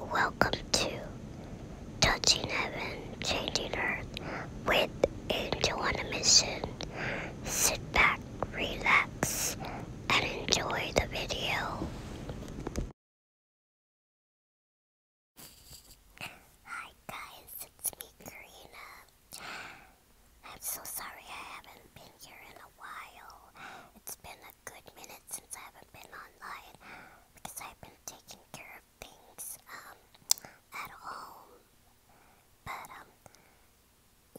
Welcome to Touching Heaven, Changing Earth with Angel on Mission. Sit back, relax, and enjoy the video. Hi guys, it's me, Karina. I'm so sorry I haven't been here in a while. It's been good minute since I haven't been online because I've been taking care of things um, at home. But um,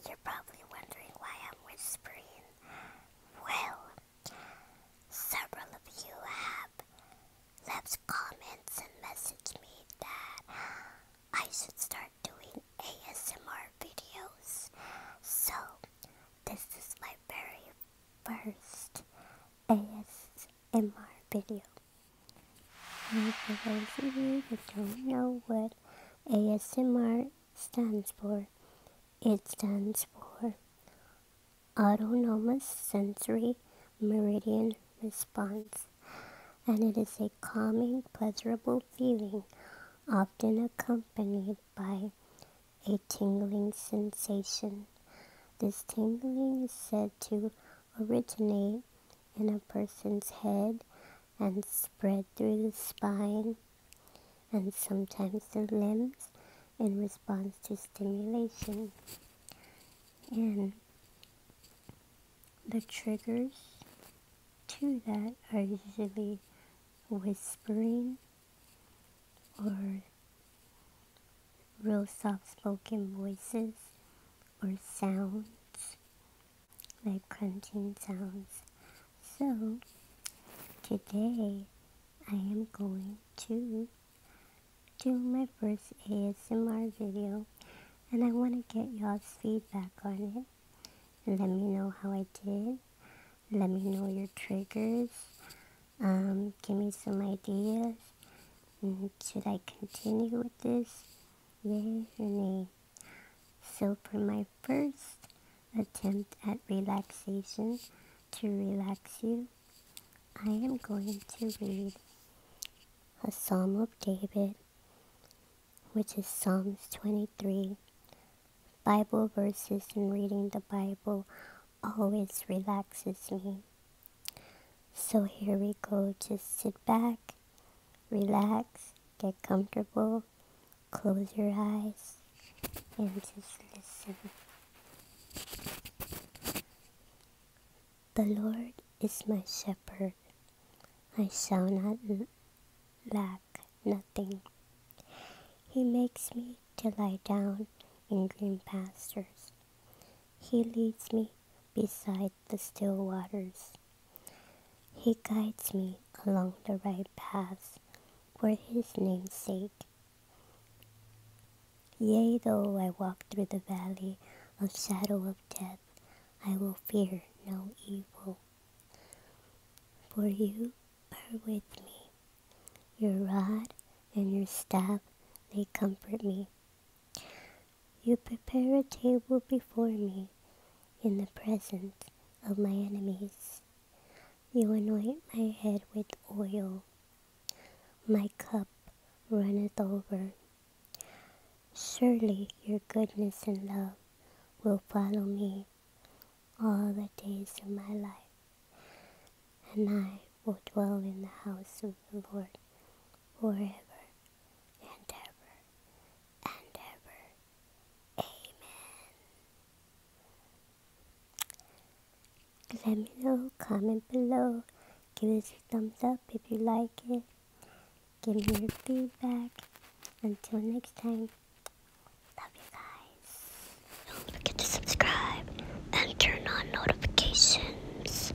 you're probably wondering why I'm whispering. Well, several of you have left comments and messaged me that I should start doing ASMR videos. So, this is my very first ASMR video. And for those of you who don't know what ASMR stands for, it stands for Autonomous Sensory Meridian Response and it is a calming, pleasurable feeling, often accompanied by a tingling sensation. This tingling is said to originate in a person's head and spread through the spine and sometimes the limbs in response to stimulation. The triggers to that are usually whispering or real soft spoken voices or sounds like crunching sounds. So today I am going to do my first ASMR video and I want to get y'all's feedback on it. Let me know how I did. Let me know your triggers. Um, give me some ideas. Mm-hmm. Should I continue with this? Yay or nay? So for my first attempt at relaxation to relax you, I am going to read a Psalm of David, which is Psalms 23. Bible verses and reading the Bible always relaxes me. So here we go. Just sit back, relax, get comfortable, close your eyes, and just listen. The Lord is my shepherd. I shall not lack nothing. He makes me to lie down in green pastures. He leads me beside the still waters. He guides me along the right paths for his name's sake. Yea, though I walk through the valley of shadow of death, I will fear no evil. For you are with me. Your rod and your staff, they comfort me. You prepare a table before me in the presence of my enemies. You anoint my head with oil. My cup runneth over. Surely your goodness and love will follow me all the days of my life, and I will dwell in the house of the Lord forever and ever and ever. Amen. Let me know, comment below. Give us a thumbs up if you like it. Give me your feedback. Until next time, love you guys. Don't forget to subscribe and turn on notifications.